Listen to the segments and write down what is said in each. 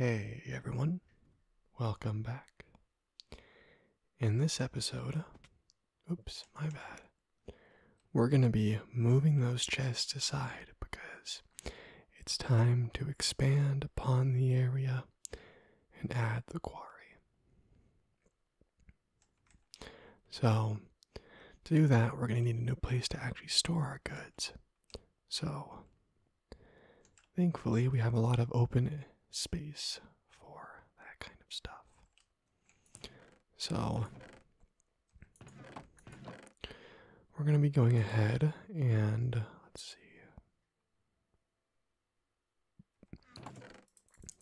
Hey everyone, welcome back. In this episode, oops, my bad, we're going to be moving those chests aside because it's time to expand upon the area and add the quarry. So, to do that, we're going to need a new place to actually store our goods. So, thankfully, we have a lot of open space for that kind of stuff. So, we're going to be going ahead and let's see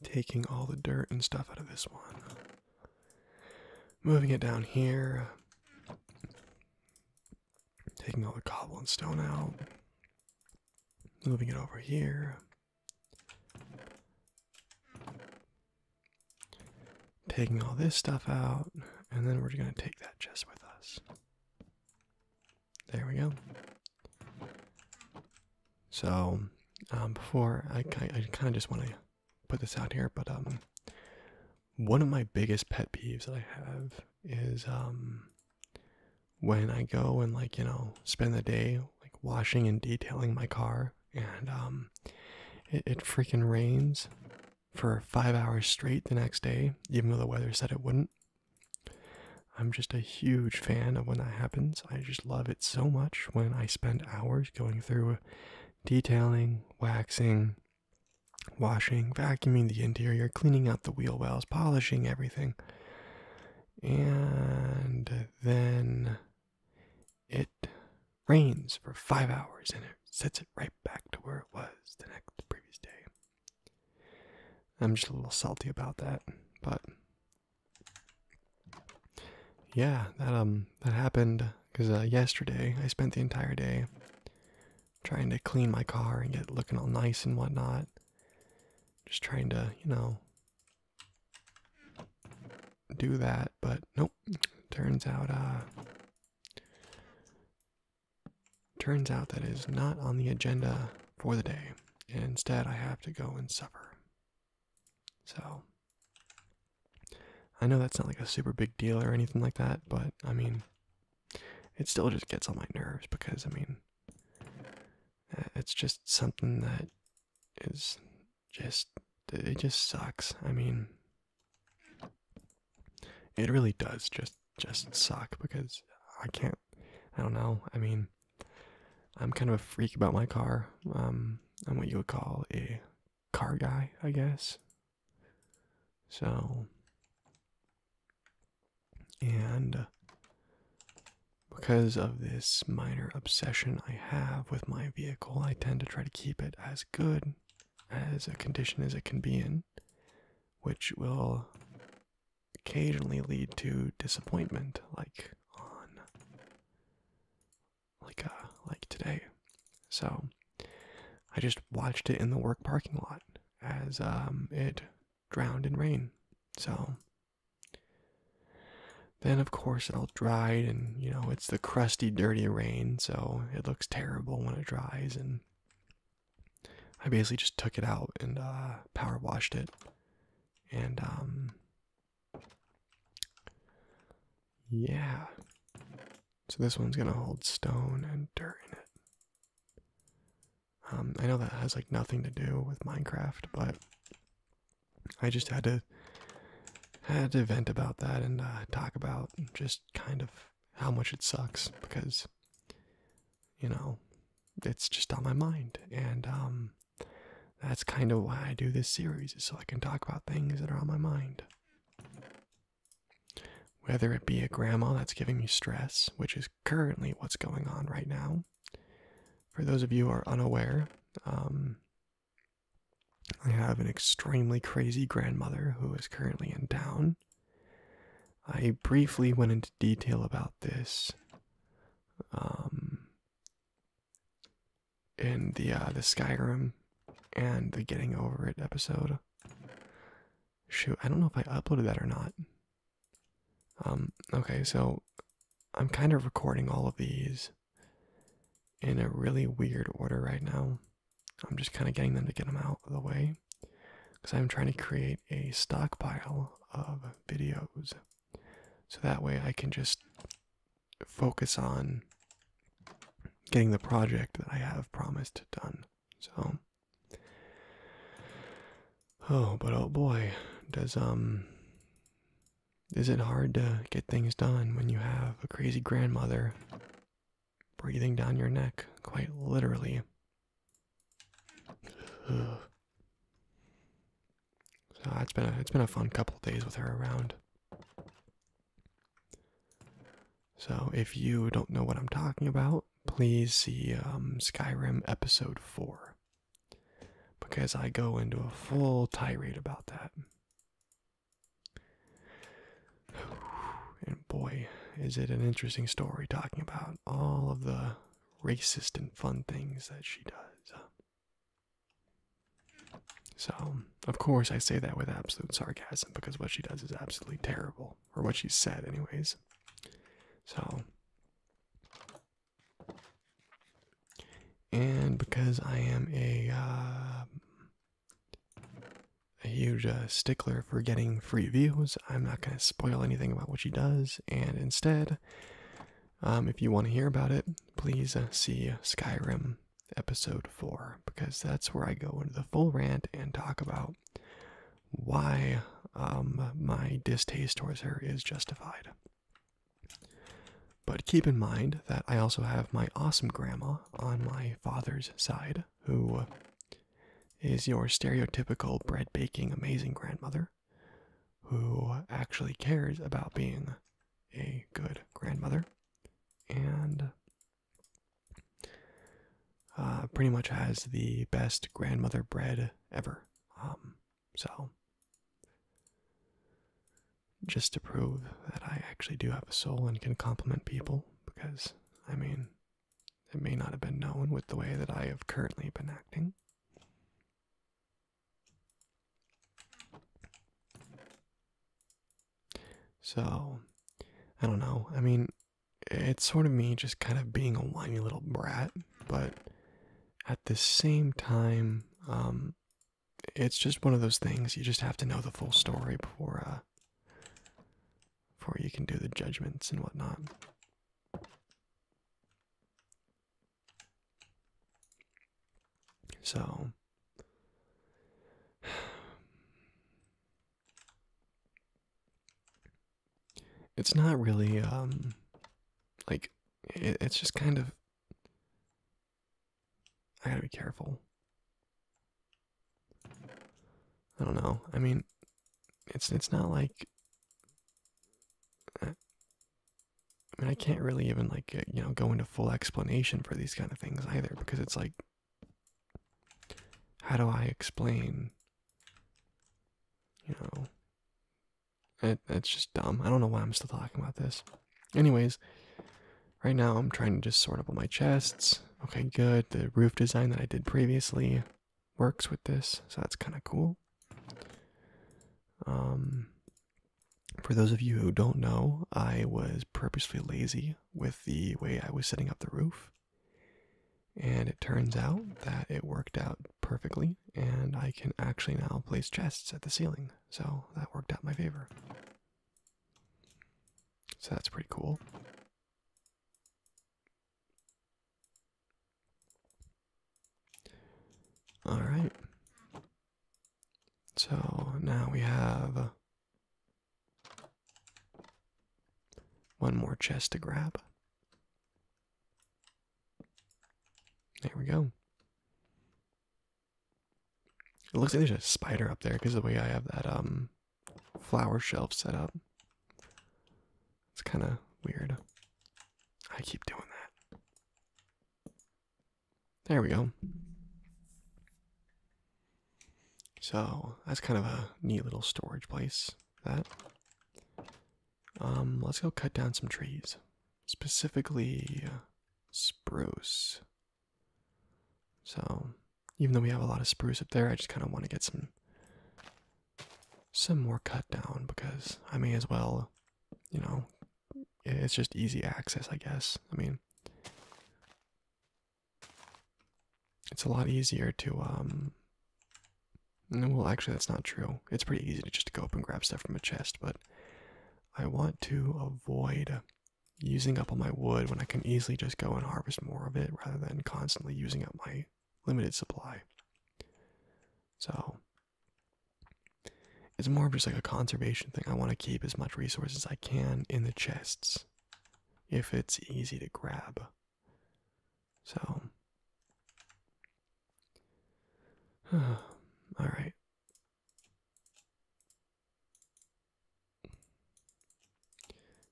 taking all the dirt and stuff out of this one, moving it down here, taking all the cobble and stone out, moving it over here. Taking all this stuff out, and then we're going to take that chest with us. There we go. So, um, before I kind of just want to put this out here, but um, one of my biggest pet peeves that I have is um, when I go and like you know spend the day like washing and detailing my car, and um, it, it freaking rains for five hours straight the next day, even though the weather said it wouldn't. I'm just a huge fan of when that happens. I just love it so much when I spend hours going through detailing, waxing, washing, vacuuming the interior, cleaning out the wheel wells, polishing everything. And then it rains for five hours and it sets it right back to where it was the next previous day. I'm just a little salty about that, but yeah, that um that happened because uh, yesterday I spent the entire day trying to clean my car and get it looking all nice and whatnot. Just trying to, you know, do that, but nope. Turns out, uh, turns out that is not on the agenda for the day. instead, I have to go and supper. So, I know that's not like a super big deal or anything like that, but I mean, it still just gets on my nerves because I mean, uh, it's just something that is just, it just sucks. I mean, it really does just, just suck because I can't, I don't know. I mean, I'm kind of a freak about my car. Um, I'm what you would call a car guy, I guess. So, and because of this minor obsession I have with my vehicle, I tend to try to keep it as good as a condition as it can be in, which will occasionally lead to disappointment, like on like uh like today. So I just watched it in the work parking lot as um it drowned in rain. So then of course it all dried and you know it's the crusty dirty rain so it looks terrible when it dries and I basically just took it out and uh power washed it and um yeah. So this one's gonna hold stone and dirt in it. Um, I know that has like nothing to do with Minecraft, but I just had to had to vent about that and uh, talk about just kind of how much it sucks because you know it's just on my mind and um that's kind of why I do this series, is so I can talk about things that are on my mind. Whether it be a grandma that's giving me stress, which is currently what's going on right now. For those of you who are unaware, um, I have an extremely crazy grandmother who is currently in town. I briefly went into detail about this um, in the uh, the Skyrim and the Getting Over It episode. Shoot, I don't know if I uploaded that or not. Um, okay, so I'm kind of recording all of these in a really weird order right now. I'm just kind of getting them to get them out of the way because I'm trying to create a stockpile of videos so that way I can just focus on getting the project that I have promised done. So Oh, but oh boy, does um is it hard to get things done when you have a crazy grandmother breathing down your neck, quite literally? So it's been a, it's been a fun couple of days with her around. So if you don't know what I'm talking about, please see um, Skyrim episode four, because I go into a full tirade about that. And boy, is it an interesting story talking about all of the racist and fun things that she does. So, of course, I say that with absolute sarcasm because what she does is absolutely terrible, or what she said, anyways. So, and because I am a uh, a huge uh, stickler for getting free views, I'm not going to spoil anything about what she does, and instead, um, if you want to hear about it, please uh, see Skyrim episode 4 because that's where I go into the full rant and talk about why um, my distaste towards her is justified. But keep in mind that I also have my awesome grandma on my father's side, who is your stereotypical bread baking amazing grandmother, who actually cares about being a good grandmother and uh, pretty much has the best grandmother bread ever. Um, so, just to prove that I actually do have a soul and can compliment people, because I mean, it may not have been known with the way that I have currently been acting. So, I don't know. I mean, it's sort of me just kind of being a whiny little brat, but at the same time, um, it's just one of those things you just have to know the full story before uh, before you can do the judgments and whatnot. So it's not really um like it's just kind of I gotta be careful. I don't know. I mean, it's it's not like I mean, I can't really even like uh, you know go into full explanation for these kind of things either because it's like, how do I explain? You know, it's just dumb. I don't know why I'm still talking about this. Anyways, right now I'm trying to just sort up all my chests. Okay, good. The roof design that I did previously works with this, so that's kind of cool. Um, for those of you who don't know, I was purposely lazy with the way I was setting up the roof. And it turns out that it worked out perfectly, and I can actually now place chests at the ceiling. So that worked out in my favor. So that's pretty cool. Alright. So now we have one more chest to grab. There we go. It looks like there's a spider up there because the way I have that um flower shelf set up. It's kind of weird. I keep doing that. There we go. So that's kind of a neat little storage place. That. Um, let's go cut down some trees, specifically uh, spruce. So, even though we have a lot of spruce up there, I just kind of want to get some some more cut down because I may as well, you know, it's just easy access, I guess. I mean, it's a lot easier to, um, well, actually, that's not true. It's pretty easy to just go up and grab stuff from a chest, but I want to avoid using up all my wood when I can easily just go and harvest more of it rather than constantly using up my limited supply. So it's more of just like a conservation thing. I want to keep as much resource as I can in the chests if it's easy to grab. So. All right.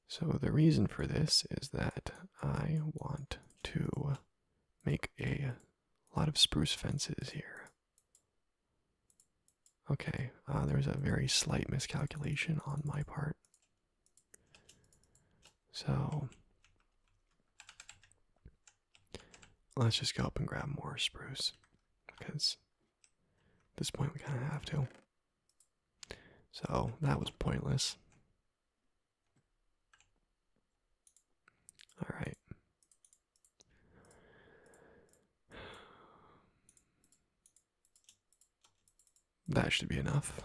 So, the reason for this is that I want to make a lot of spruce fences here. Okay, uh, there was a very slight miscalculation on my part. So let's just go up and grab more spruce because this point we kind of have to. So that was pointless. All right. That should be enough.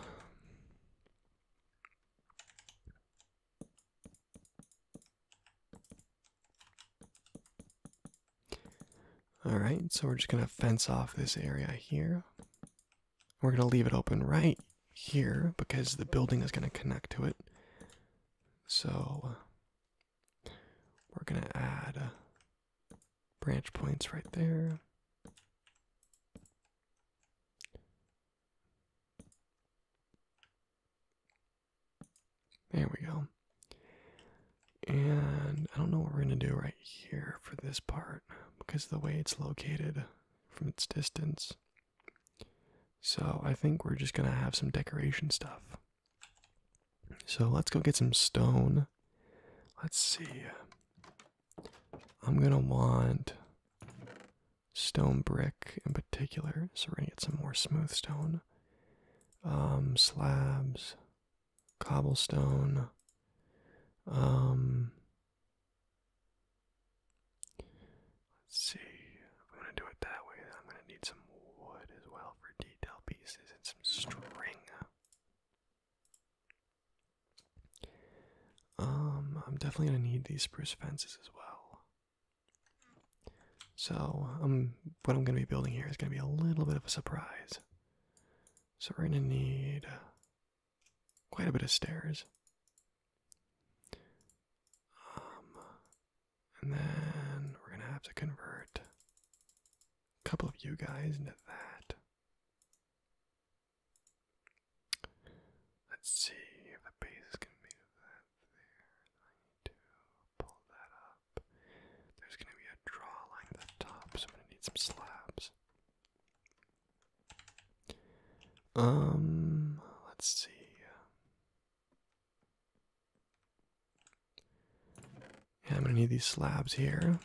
Alright, so we're just going to fence off this area here. We're going to leave it open right here because the building is going to connect to it. So we're going to add uh, branch points right there. There we go. And I don't know what we're going to do right here for this part because the way it's located from its distance. So I think we're just going to have some decoration stuff. So let's go get some stone. Let's see. I'm gonna want stone brick in particular, so we're gonna get some more smooth stone. Um, slabs, cobblestone, um, Let's see. I'm gonna do it that way. I'm gonna need some wood as well for detail pieces and some string. Um, I'm definitely gonna need these spruce fences as well. So, um, what I'm gonna be building here is gonna be a little bit of a surprise. So we're gonna need quite a bit of stairs. Um, and then we're going to have to convert a couple of you guys into that. Let's see if the base is going to be there. I need to pull that up. There's going to be a draw line at the top, so I'm going to need some slabs. Um, let's see. And I'm going to need these slabs here.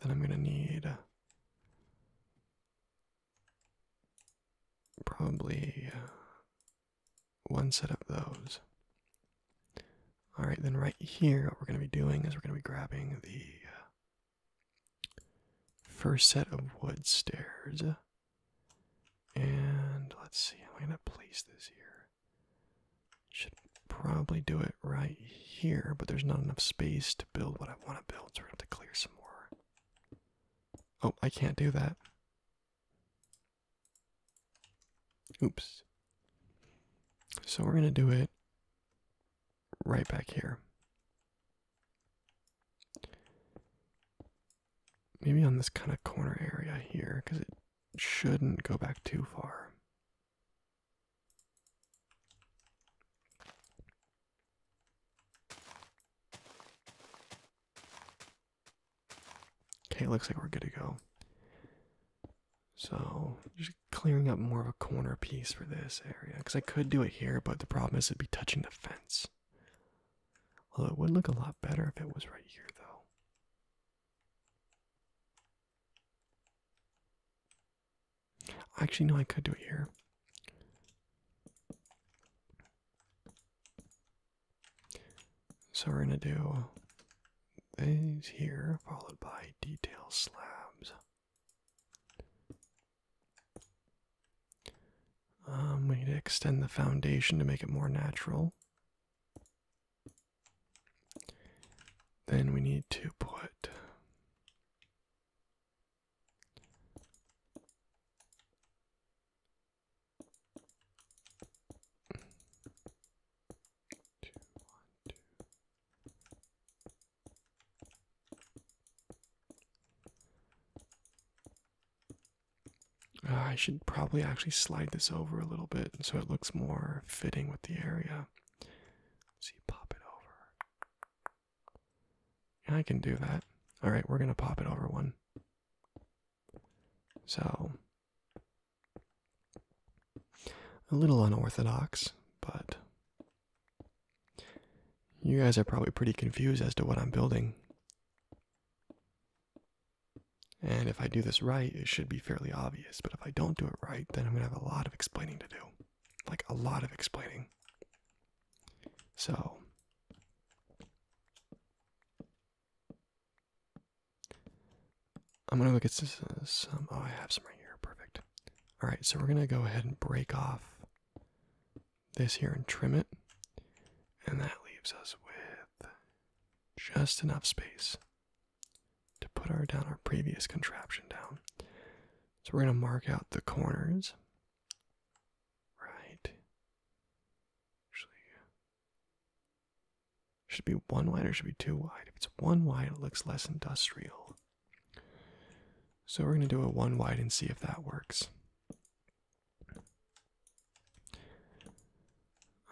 Then I'm going to need probably uh, one set of those. All right, then right here, what we're going to be doing is we're going to be grabbing the uh, first set of wood stairs. And let's see, I'm gonna place this here. Should probably do it right here, but there's not enough space to build what I want to build, so we have to clear some more. Oh, I can't do that. Oops. So we're gonna do it right back here maybe on this kind of corner area here because it shouldn't go back too far. Okay, looks like we're good to go. So, just clearing up more of a corner piece for this area because I could do it here, but the problem is it'd be touching the fence. Although it would look a lot better if it was right here, though. Actually, no, I could do it here. So we're going to do things here, followed by detail slabs. Um, we need to extend the foundation to make it more natural. Then we need to put two, one, two. Uh, I should probably actually slide this over a little bit so it looks more fitting with the area. Let's pop it over. I can do that. All right, we're gonna pop it over one. So, a little unorthodox, but you guys are probably pretty confused as to what I'm building. And if I do this right, it should be fairly obvious, but if I don't do it right, then I'm going to have a lot of explaining to do. Like, a lot of explaining. So, I'm going to look at some. Oh, I have some right here. Perfect. All right, so we're going to go ahead and break off this here and trim it. And that leaves us with just enough space to put our down our previous contraption down. So we're going to mark out the corners. Right. Actually, should be one wide or should be two wide? If it's one wide, it looks less industrial. So we're going to do a one wide and see if that works.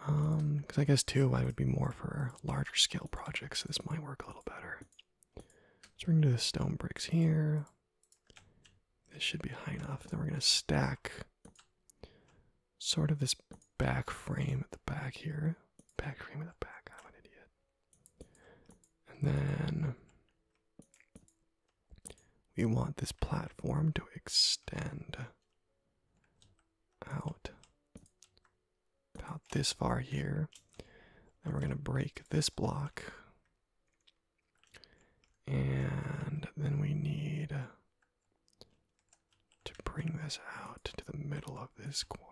Um, because I guess two I would be more for larger scale projects, so this might work a little better. So we're gonna do the stone bricks here. This should be high enough. Then we're gonna stack sort of this back frame at the back here. Back frame at the back, I'm an idiot. And then we want this platform to extend out about this far here. And we're going to break this block. And then we need to bring this out to the middle of this quarry.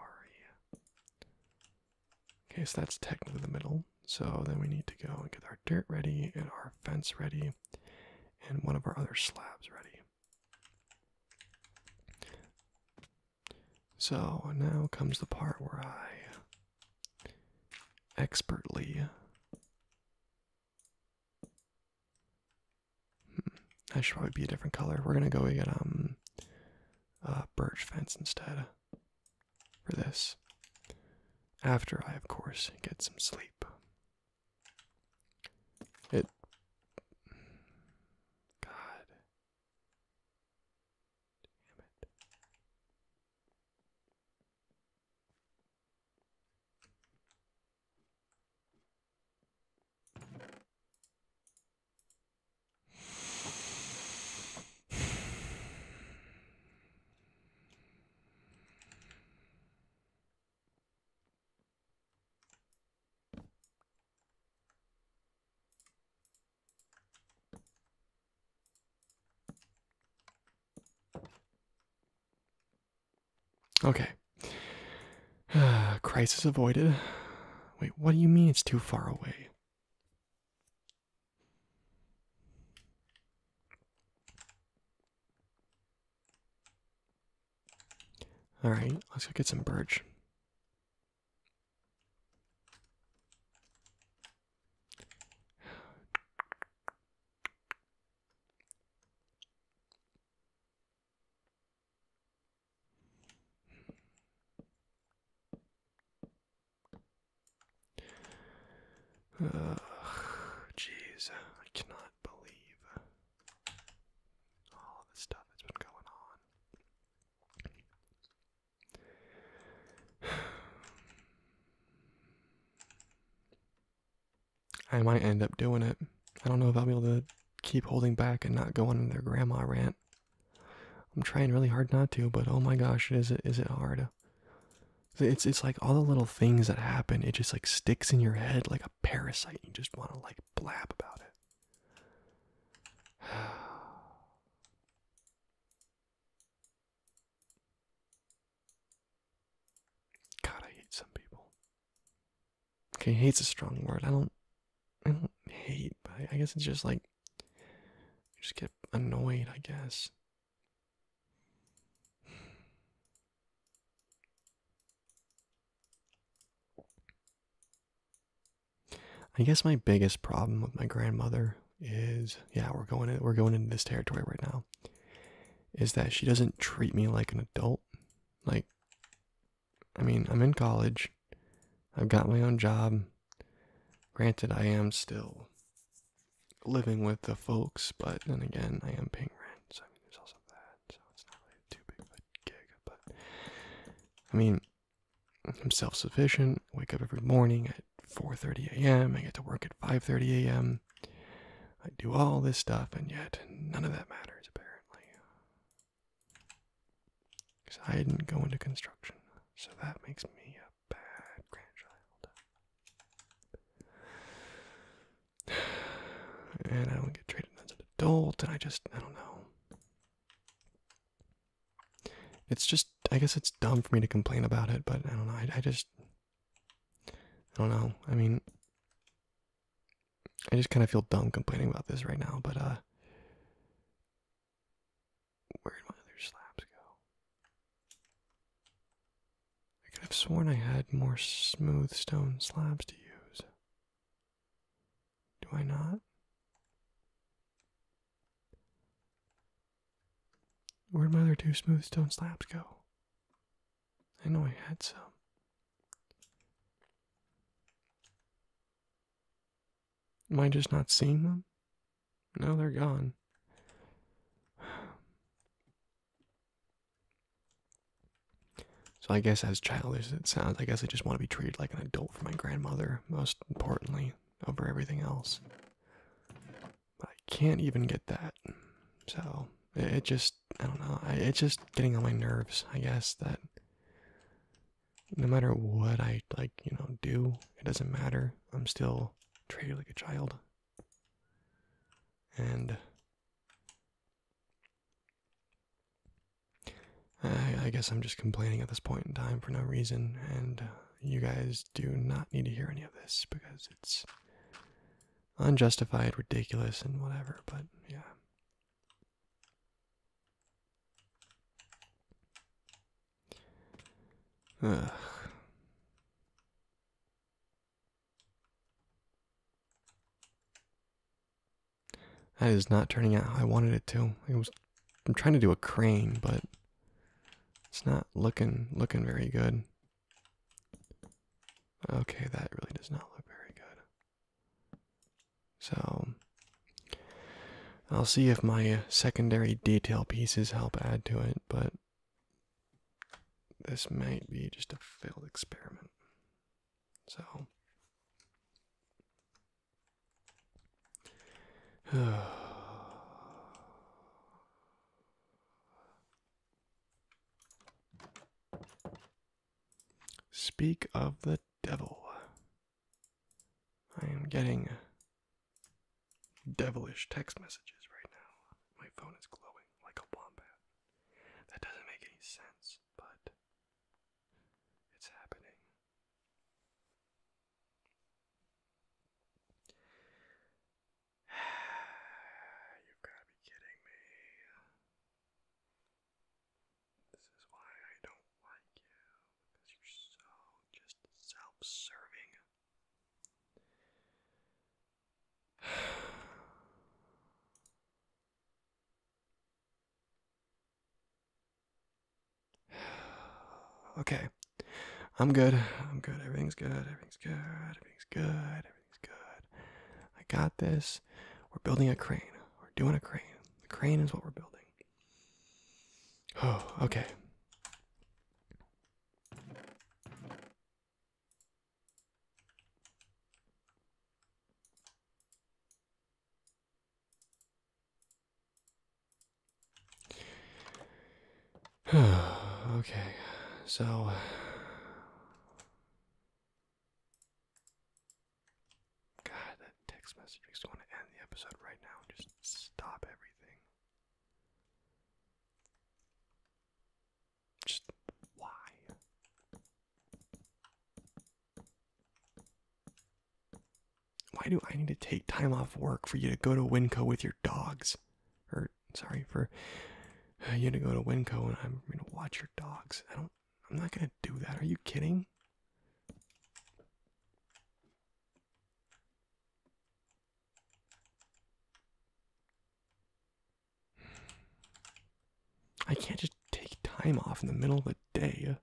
Okay, so that's technically the middle. So then we need to go and get our dirt ready and our fence ready and one of our other slabs ready. So now comes the part where I expertly. I hmm, should probably be a different color. We're gonna go get um, birch fence instead for this. After I, of course, get some sleep. It. God. Damn it. Okay. Crisis avoided. Wait, what do you mean it's too far away? All right, let's go get some birch. Jeez, I cannot believe all the stuff that's been going on. I might end up doing it. I don't know if I'll be able to keep holding back and not go on their grandma rant. I'm trying really hard not to, but oh my gosh, is it is it hard? It's it's like all the little things that happen. It just like sticks in your head like a parasite. You just want to like blab about it. God, I hate some people. Okay, hate's a strong word. I don't, I don't hate, I guess it's just like, I just get annoyed. I guess I guess my biggest problem with my grandmother is yeah, we're going we're going into this territory right now. Is that she doesn't treat me like an adult. Like I mean, I'm in college. I've got my own job. Granted, I am still living with the folks, but then again, I am paying rent, so I mean, there's also that, so it's not really too big of a gig, but I mean, I'm self-sufficient, wake up every morning at 4.30 a.m., I get to work at 5.30 a.m., I do all this stuff, and yet none of that matters, apparently. Because I didn't go into construction, so that makes me a bad grandchild and I don't get treated as an adult, and I just I don't know. It's just I guess it's dumb for me to complain about it, but I don't know. I, I just I don't know. I mean, I just kind of feel dumb complaining about this right now, but uh. Where did my other slabs go? I could have sworn I had more smooth stone slabs to use. Do I not? Where'd my other two smooth stone slabs go? I know I had some. Am I just not seeing them? No, they're gone. So I guess as childish as it sounds, I guess I just want to be treated like an adult for my grandmother, most importantly, over everything else. I can't even get that. So it, just, I don't know, it's just getting on my nerves, I guess, that no matter what I, like, you know, do, it doesn't matter. I'm still treated like a child. And I, guess I'm just complaining at this point in time for no reason, and uh, you guys do not need to hear any of this because it's unjustified, ridiculous, and whatever, but yeah. Ugh. That is not turning out how I wanted it to. I was I'm trying to do a crane, but it's not looking looking very good. Okay, that really does not look very good. So I'll see if my secondary detail pieces help add to it, but this might be just a failed experiment. So, speak of the devil. I am getting devilish text messages right now. My phone is glowing like a wombat. That doesn't make any sense, but it's happening. You've got to be kidding me. This is why I don't like you, because you're so just self serving. okay. I'm good. I'm good. Everything's good. Everything's good. Everything's good. Everything's good. I got this. We're building a crane. We're doing a crane. The crane is what we're building. Oh, okay. okay, so God, that text message makes me want to end the episode right now just stop everything. Just why? Why do I need to take time off work for you to go to Winco with your dogs? Or sorry for you to go to Winco and I'm going to watch your dogs. I don't. I'm not going to do that. Are you kidding? I can't just take time off in the middle of the day.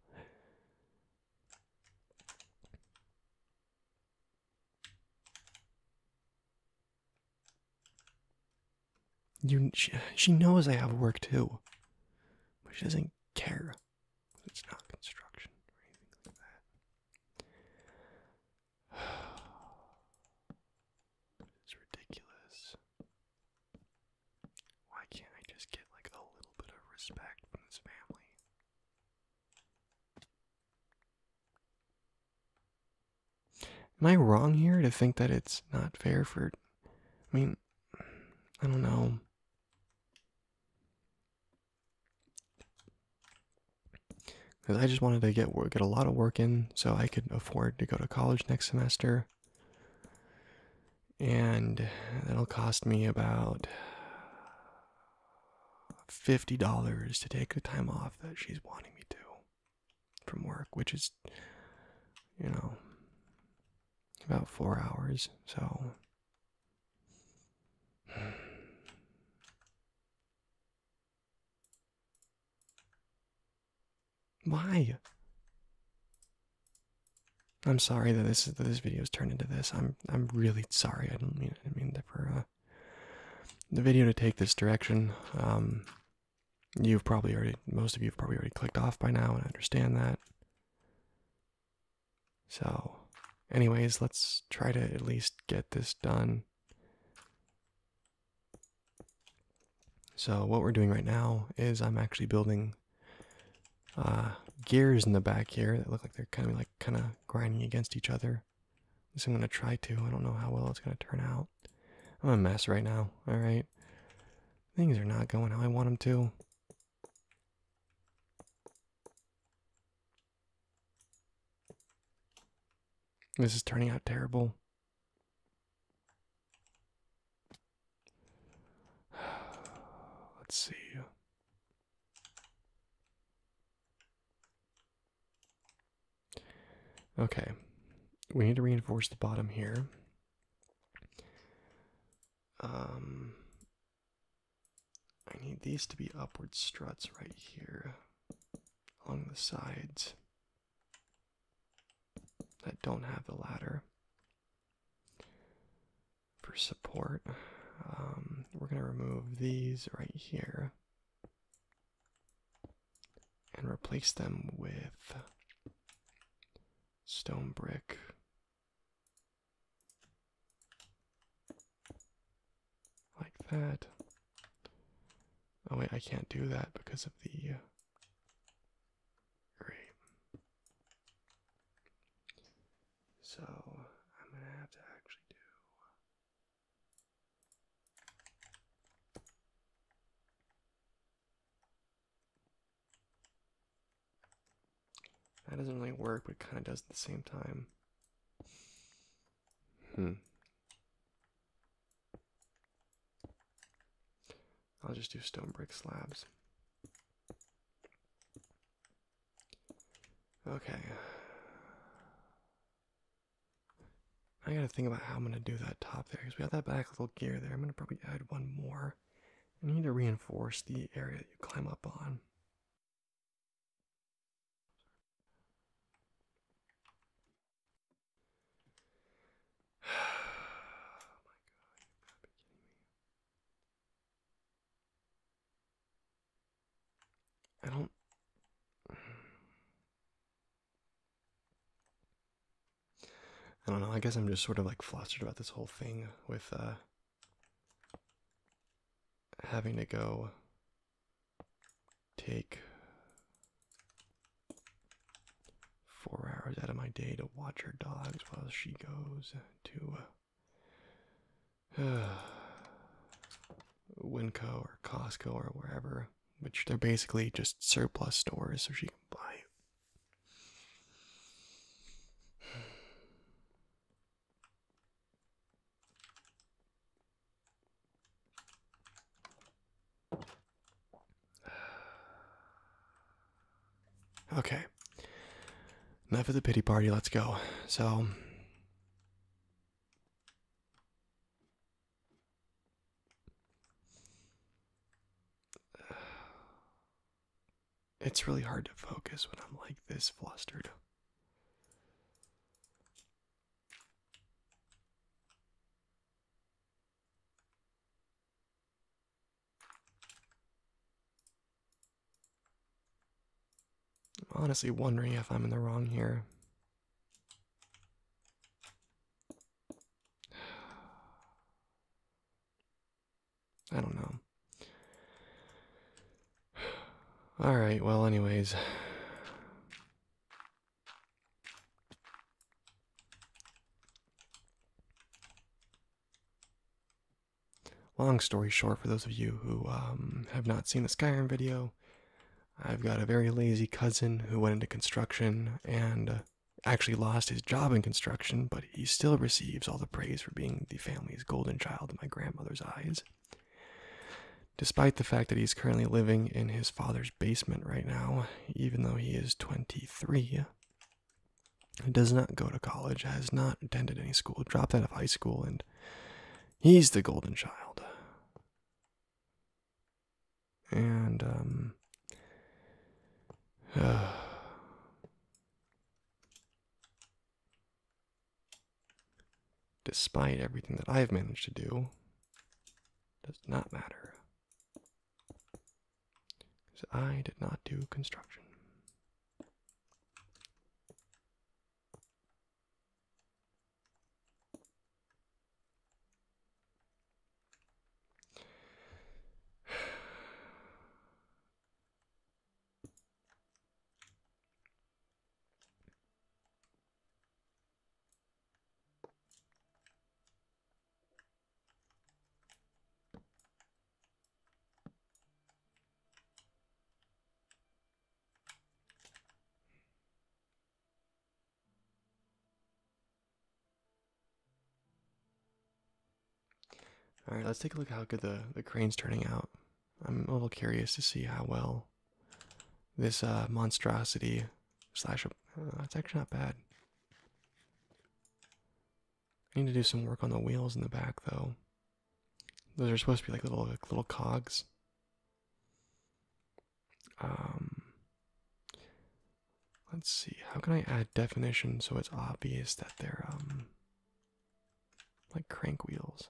You, she, she knows I have work too, but she doesn't care. It's not construction or anything like that it's ridiculous. Why can't I just get like a little bit of respect from this family? Am I wrong here to think that it's not fair for I mean I don't know. I just wanted to get get a lot of work in so I could afford to go to college next semester. And that'll cost me about $50 to take the time off that she's wanting me to from work, which is, you know, about four hours. So, why? I'm sorry that this that this video's turned into this. I'm I'm really sorry. I don't mean I didn't mean for uh, the video to take this direction. Um, you've probably already most of you have probably already clicked off by now, and I understand that. So, anyways, let's try to at least get this done. So what we're doing right now is I'm actually building uh, gears in the back here that look like they're kind of like kind of grinding against each other. This I'm gonna try to. I don't know how well it's gonna turn out. I'm a mess right now. All right, things are not going how I want them to. This is turning out terrible. Let's see. Okay, we need to reinforce the bottom here. Um, I need these to be upward struts right here along the sides that don't have the ladder for support. Um, we're going to remove these right here and replace them with stone brick. Like that. Oh wait, I can't do that because of the. Uh, great. So I'm gonna have to actually do. That doesn't really work, but it kind of does at the same time. Hmm. I'll just do stone brick slabs. Okay. I gotta think about how I'm gonna do that top there because we have that back little gear there. I'm gonna probably add one more. I need to reinforce the area that you climb up on oh my god, you gotta be kidding me. I don't. I don't know. I guess I'm just sort of like flustered about this whole thing with uh, having to go take four hours out of my day to watch her dogs while she goes to uh, Winco or Costco or wherever, which they're basically just surplus stores, so she can buy Okay. Enough of the pity party, let's go. So. It's really hard to focus when I'm like this flustered. I'm honestly wondering if I'm in the wrong here. I don't know. Alright, well, anyways. Long story short, for those of you who um, have not seen the Skyrim video, I've got a very lazy cousin who went into construction and uh, actually lost his job in construction, but he still receives all the praise for being the family's golden child in my grandmother's eyes despite the fact that he's currently living in his father's basement right now, even though he is 23. Does not go to college, has not attended any school, dropped out of high school, and he's the golden child. And, um, despite everything that I've managed to do, does not matter. Because I did not do construction. All right, let's take a look how good the the crane's turning out. I'm a little curious to see how well this uh, monstrosity slash. Oh, it's actually not bad. I need to do some work on the wheels in the back, though. Those are supposed to be like little little cogs. Um, let's see. How can I add definition so it's obvious that they're um like crank wheels?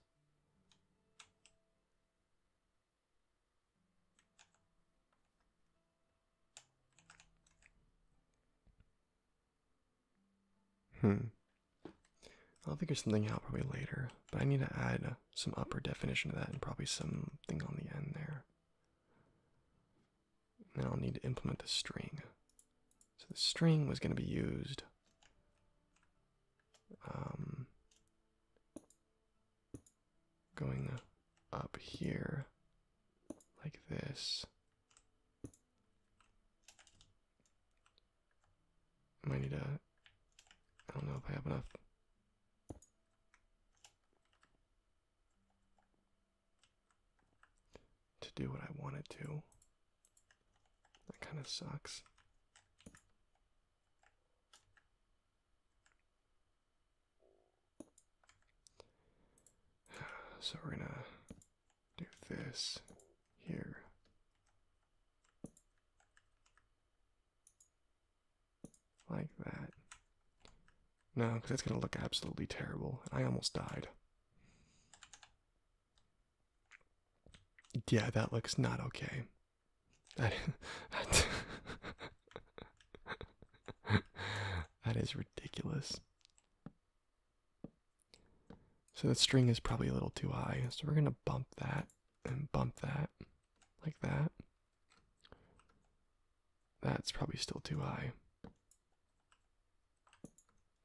Hmm. I'll figure something out probably later, but I need to add some upper definition to that and probably something on the end there. Now I'll need to implement the string. So the string was going to be used um, going up here like this. Might need to. I I don't know if I have enough. To do what I want it to. That kind of sucks. So we're gonna do this here. Like that. No, because it's gonna look absolutely terrible. I almost died. Yeah, that looks not okay. That is, that is ridiculous. So the string is probably a little too high, so we're gonna bump that and bump that like that. That's probably still too high.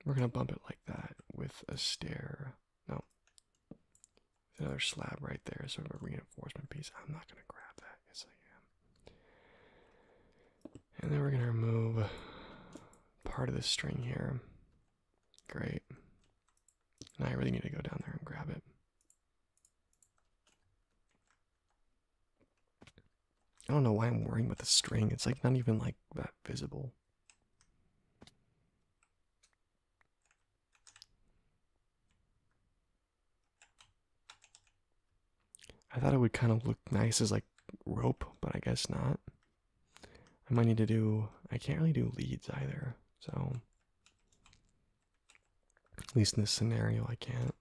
We're gonna bump it like that with a stair. No, another slab right there, sort of a reinforcement piece. I'm not gonna grab that. Yes, I am. And then we're gonna remove part of the string here. Great. And I really need to go down there and grab it. I don't know why I'm worrying with a string. It's like not even like that visible. I thought it would kind of look nice as like rope, but I guess not. I might need to do, I can't really do leads either, so. At least in this scenario, I can't.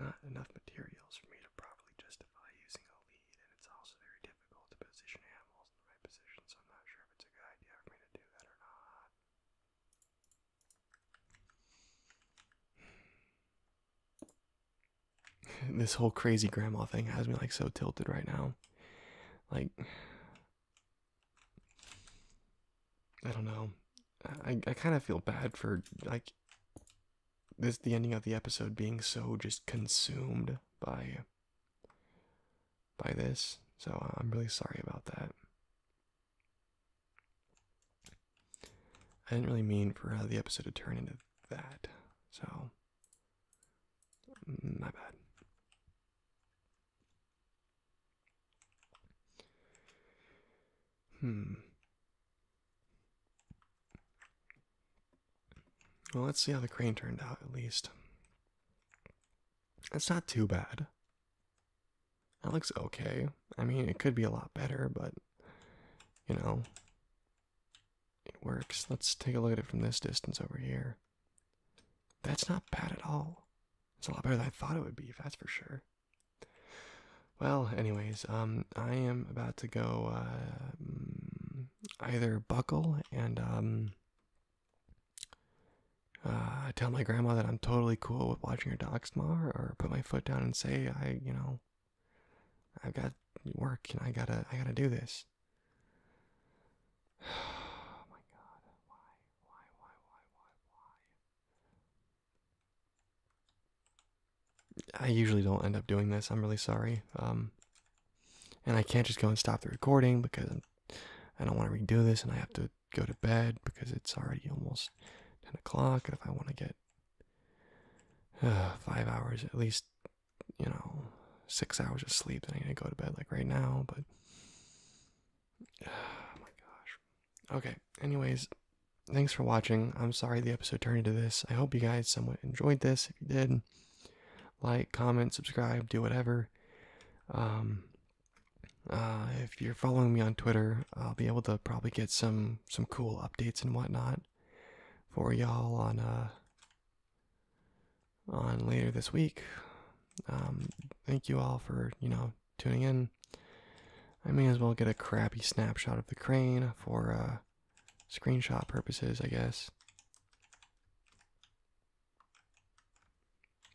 Not enough materials for me to properly justify using a lead, and it's also very difficult to position animals in the right position, so I'm not sure if it's a good idea for me to do that or not. this whole crazy grandma thing has me like so tilted right now. Like, I don't know. I, I kind of feel bad for like this the ending of the episode being so just consumed by by this, so uh, I'm really sorry about that. I didn't really mean for uh, the episode to turn into that, so mm, my bad. Hmm. Well, let's see how the crane turned out, at least. It's not too bad. That looks okay. I mean, it could be a lot better, but you know, it works. Let's take a look at it from this distance over here. That's not bad at all. It's a lot better than I thought it would be, that's for sure. Well, anyways, um, I am about to go uh, mm, either buckle and um, uh, I tell my grandma that I'm totally cool with watching her dog snore, or put my foot down and say, I, you know, I've got work and I gotta, I gotta do this. Oh my God! Why, why, why, why, why, why? I usually don't end up doing this. I'm really sorry. Um, and I can't just go and stop the recording because I'm, I don't want to redo this, and I have to go to bed because it's already almost 10 o'clock. And if I want to get uh, five hours, at least, you know, six hours of sleep, then I need to go to bed like right now. But, oh my gosh. Okay, anyways, thanks for watching. I'm sorry the episode turned into this. I hope you guys somewhat enjoyed this. If you did, like, comment, subscribe, do whatever. Um, uh, if you're following me on Twitter, I'll be able to probably get some some cool updates and whatnot for y'all on uh, on later this week. Um, thank you all for you know tuning in. I may as well get a crappy snapshot of the crane for uh, screenshot purposes, I guess.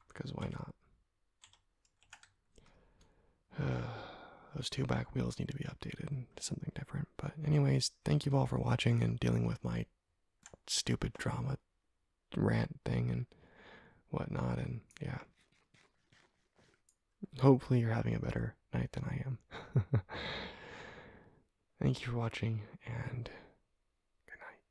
Because why not? Those two back wheels need to be updated to something different. But, anyways, thank you all for watching and dealing with my stupid drama rant thing and whatnot. And yeah, hopefully, you're having a better night than I am. thank you for watching and. good night.